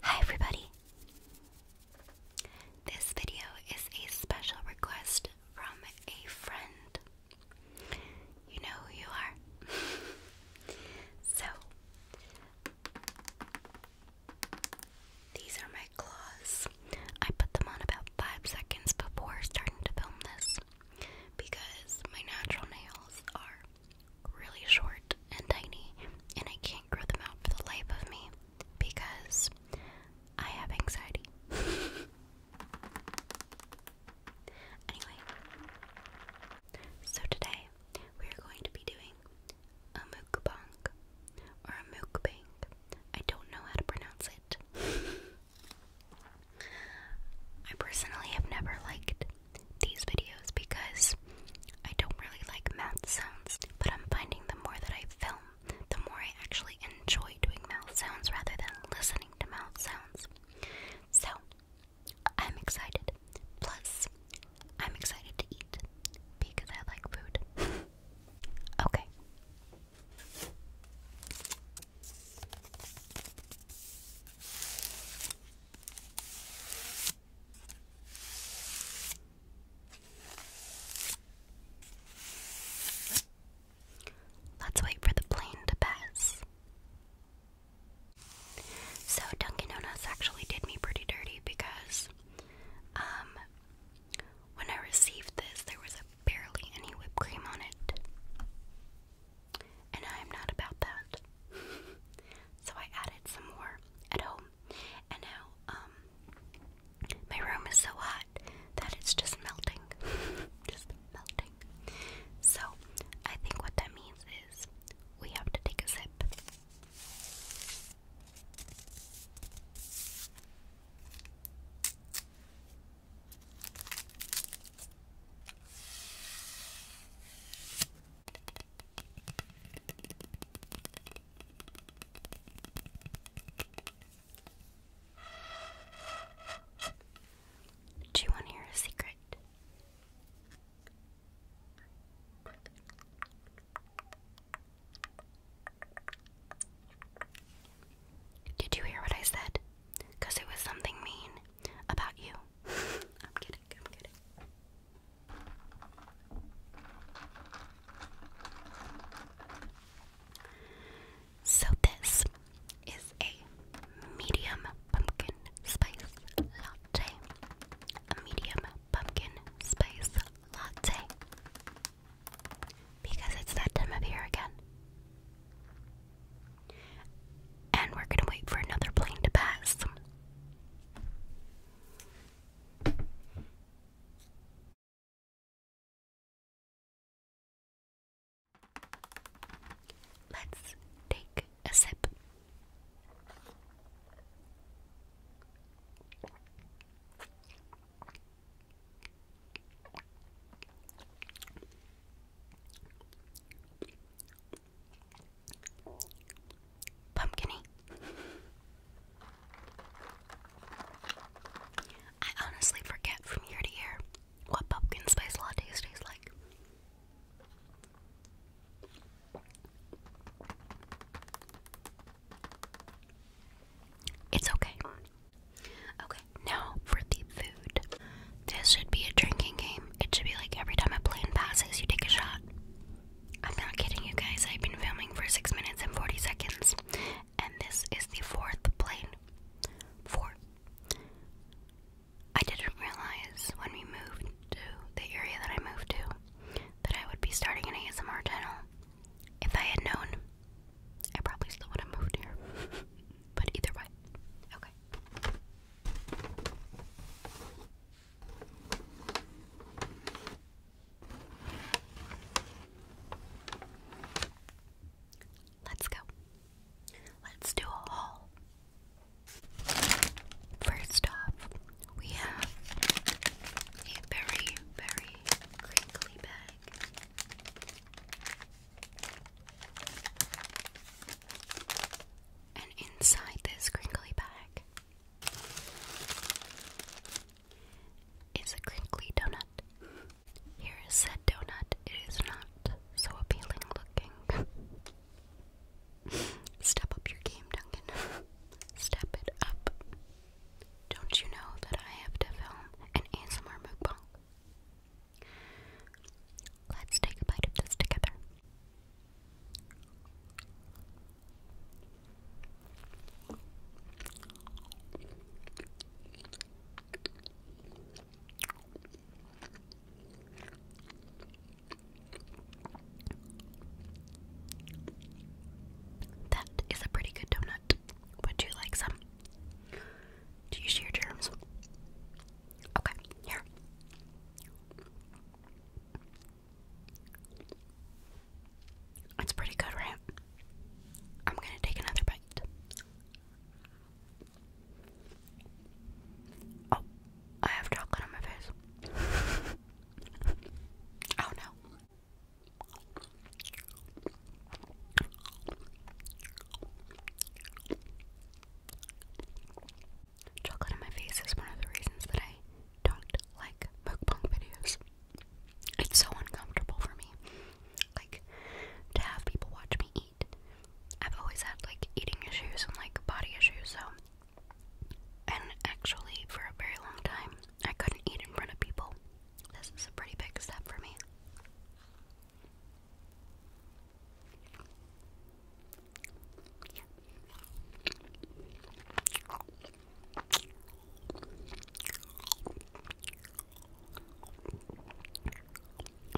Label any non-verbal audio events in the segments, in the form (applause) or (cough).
Hi, everybody! This video is a special request from a friend. You know who you are. (laughs) so, these are my claws. I put them on about five seconds before starting to film this because my natural nails are really short and tiny, and I can't grow them out for the life of me because I have anxiety. (laughs) anyway, so today we are going to be doing a mukbang or a mukbang. I don't know how to pronounce it. (laughs) I personally have never liked these videos because I don't really like mouth sounds, but I'm finding the more that I film, the more I actually enjoy doing mouth sounds rather than listening to mouth sounds. So, I'm excited. Plus, I'm excited to eat because I like food. (laughs) okay. Let's wait for the plane to pass. So Dunkin' Donuts actually did me pretty dirty because um when I received this there was a barely any whipped cream on it and I am not about that. (laughs) so I added some more at home, and now um, my room is so hot that it's just melting, (laughs) just melting. So I think what that means is we have to take a sip. Do you want to hear a secret? Did you hear what I said? because it was something mean about you. (laughs) I'm kidding, I'm kidding. So, this is a medium pumpkin spice latte. A medium pumpkin spice latte. Because it's that time of year again. And we're gonna wait for another plane to pass. Let's take a sip. Pumpkinny. I honestly forget from year to year what pumpkin spice lattes taste like. It's okay. Okay, now for the food. This should be a drinking game. It should be like every time a plane passes, you take a shot. I'm not kidding you guys, I've been filming for 6 minutes and 40 seconds, and this is the fourth plane. Four. I didn't realize when we moved to the area that I moved to that I would be starting an ASMR channel. If I had known, I probably still would have moved here. (laughs) but either way. Okay. Let's go. Let's do a haul. First off, we have a very, very crinkly bag. And inside this crinkly bag is a crinkly donut. Here is said donut. It is not so appealing looking. (laughs) Step up your game, Duncan. (laughs) Step it up. Don't you know that I have to film an ASMR mukbang? Let's take a bite of this together. That is a pretty good donut. Would you like some? Do you share germs? Okay, here. It's pretty good, right? I'm gonna take another bite. Oh, I have chocolate on my face. (laughs) oh no. Chocolate in my face is one of the reasons that I don't like mukbang videos. It's so uncomfortable for me. Like, to have people watch me eat. I've always had, like, eating issues and, like, body issues, so. And actually, for a very long time, I couldn't eat in front of people. This is a pretty big step for me.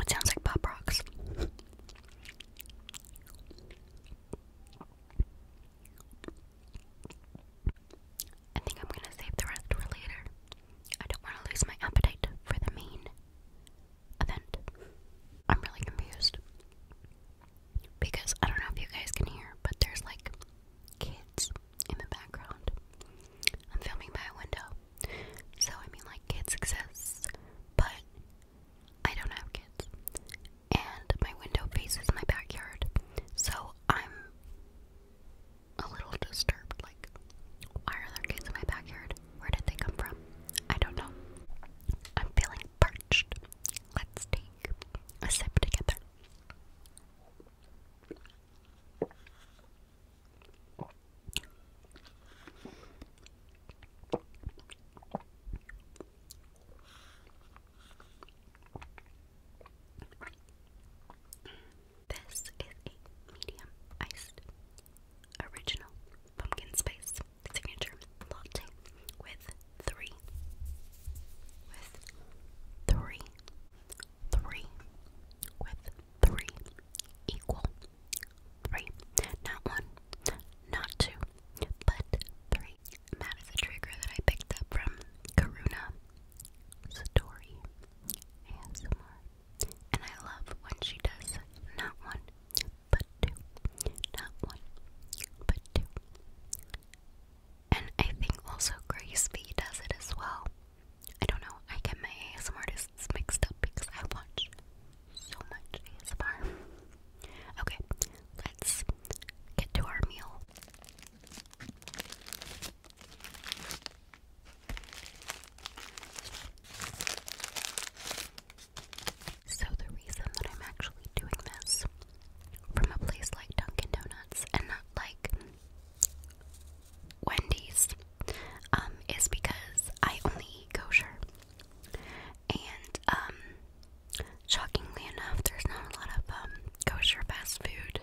It sounds like pop rocks. I think I'm gonna save the rest for later. I don't want to lose my appetite for the main event. I'm really confused. Because I don't know if you guys can hear, but there's like kids in the background. I'm filming by a window. So I mean like kids exist, but I don't have kids and my window faces my backyard. So I'm a little disturbed. Like, why are there kids in my backyard? Where did they come from? I don't know. I'm feeling parched. Let's take a sip together. This is a medium iced original pumpkin spice signature latte with three, with three, three, with three equal three. Not one, not two, but three. that is a trigger that I picked up from Karuna Story ASMR. And I love when she does not one, but two. Not one, but two. And I think also Grace B does it as well. I don't know, I get my ASMR mixed up because I watch so much ASMR. (laughs) Okay, let's get to our meal. So, the reason that I'm actually doing this from a place like Dunkin' Donuts and not like Wendy's um, is because I only eat kosher and um, shockingly enough, there's not a lot of um, kosher fast food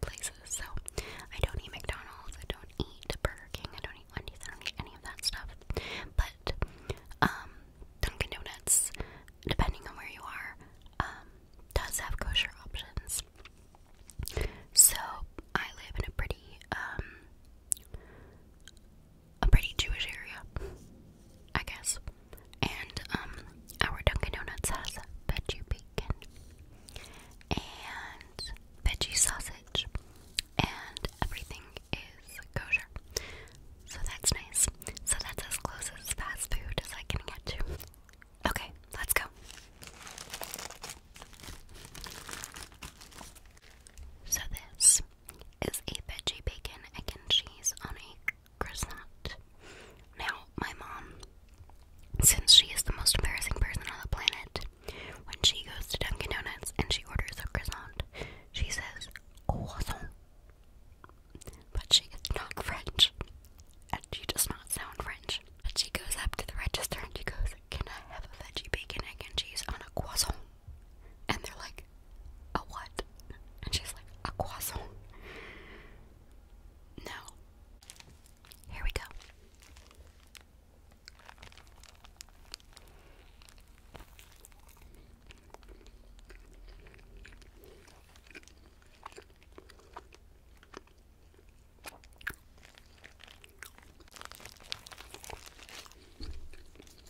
places. So I don't eat McDonald's, I don't eat Burger King, I don't eat Wendy's, I don't eat any of that stuff. But um, Dunkin' Donuts, depending on where you are, um, does have kosher options. So I live in a pretty um, a pretty Jewish area, I guess. And um, our Dunkin' Donuts has veggie bacon and veggie sausage, and everything is kosher. So that's nice. So that's as close as fast food as I can get to. Okay, let's go. So, this is a veggie bacon, egg, and cheese on a croissant. Now, my mom, since she is the most embarrassing person on the planet, when she goes to Dunkin' Donuts and she orders a croissant, she says croissant. But she is not French. And she does not sound French. And she goes up to the register and she goes, Can I have a veggie bacon, egg, and cheese on a croissant? And they're like, a what? And she's like, a croissant. No. Here we go.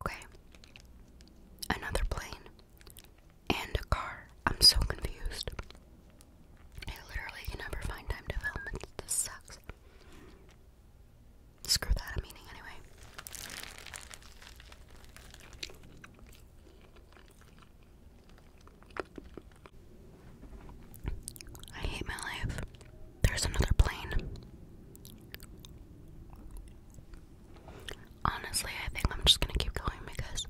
Okay. Another plane and a car. I'm so confused. I literally can never find time to film This sucks. Screw that, i anyway. I hate my life. There's another plane. Honestly, I think I'm just gonna keep going because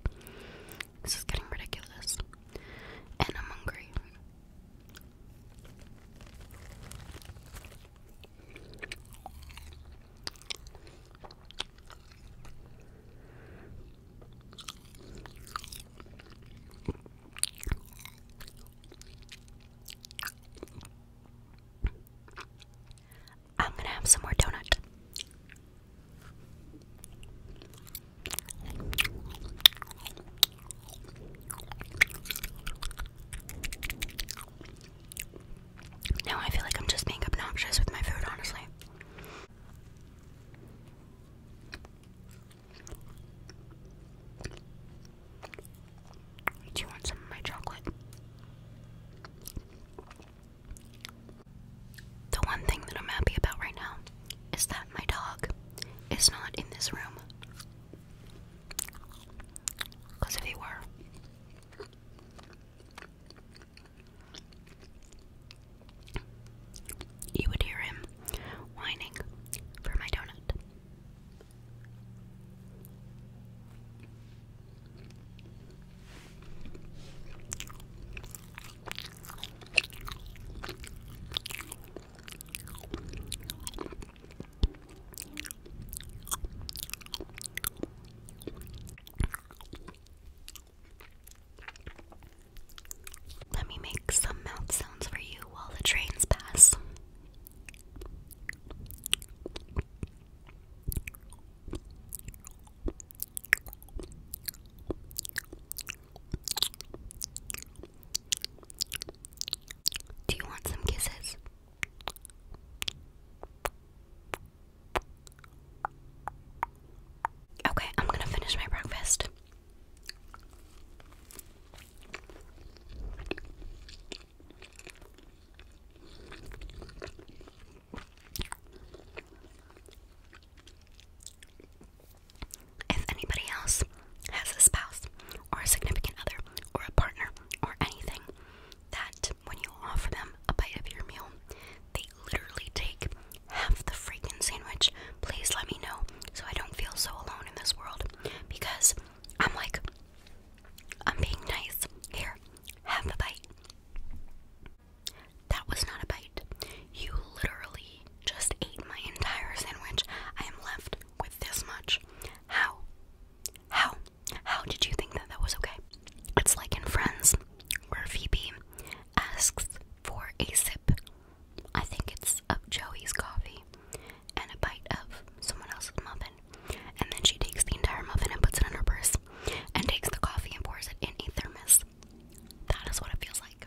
this is getting ridiculous. And I'm hungry. I'm gonna have some more donut. Now I feel like I'm just being obnoxious with my food, honestly. Do you want some of my chocolate? The one thing that I'm happy about right now is that my dog is not in this room. Because if he were, you would hear him whining for my donut. Let me make some mouth sounds for you while the trains pass. Do you want some kisses? Okay, I'm gonna finish my breakfast. If anybody else has a spouse or a significant other or a partner or anything that when you offer them a bite of your meal, they literally take half the freaking sandwich. Please let me know so I don't feel so alone in this world because I'm like, I'm being nice. Here, have a bite. That was not a bite. You literally just ate my entire sandwich. I am left with this much. How? How? How did you think that that was okay? It's like in Friends, where Phoebe asks for a sip. I think it's of Joey's coffee and a bite of someone else's muffin. And then she takes the entire muffin and puts it in her purse and takes the coffee and pours it in a thermos. That is what it feels like.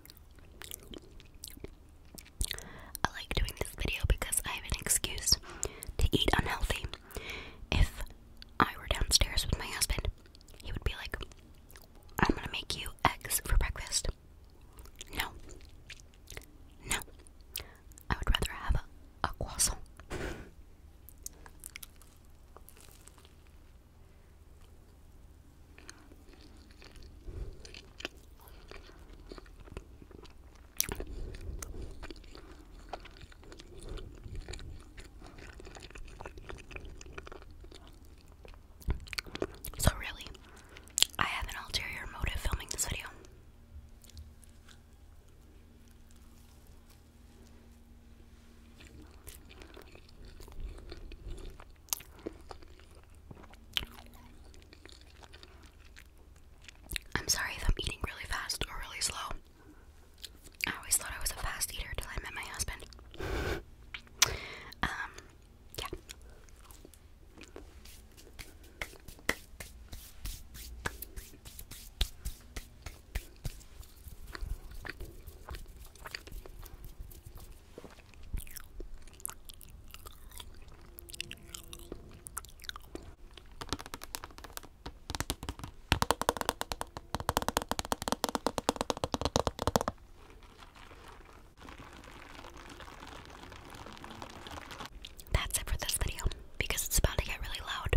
I like doing this video because I have an excuse to eat unhealthy. If I were downstairs with my husband, he would be like, I'm gonna make you eggs for breakfast. No. No. I would rather have a, a croissant. So, really, I have an ulterior motive filming this video. I'm sorry if I'm eating really fast or really slow. I always thought I was a fast eater until I met my husband. um, yeah. That's it for this video because it's about to get really loud.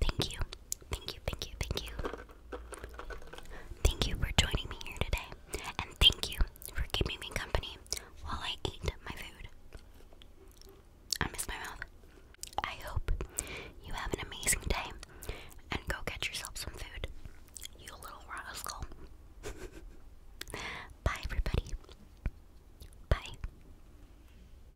Thank you. Thank you, thank you, thank you. Thank you for joining me here today. And thank you for keeping me company while I ate my food. I miss my mouth. I hope you have an amazing day and go get yourself some food, you little rascal. (laughs) Bye, everybody. Bye.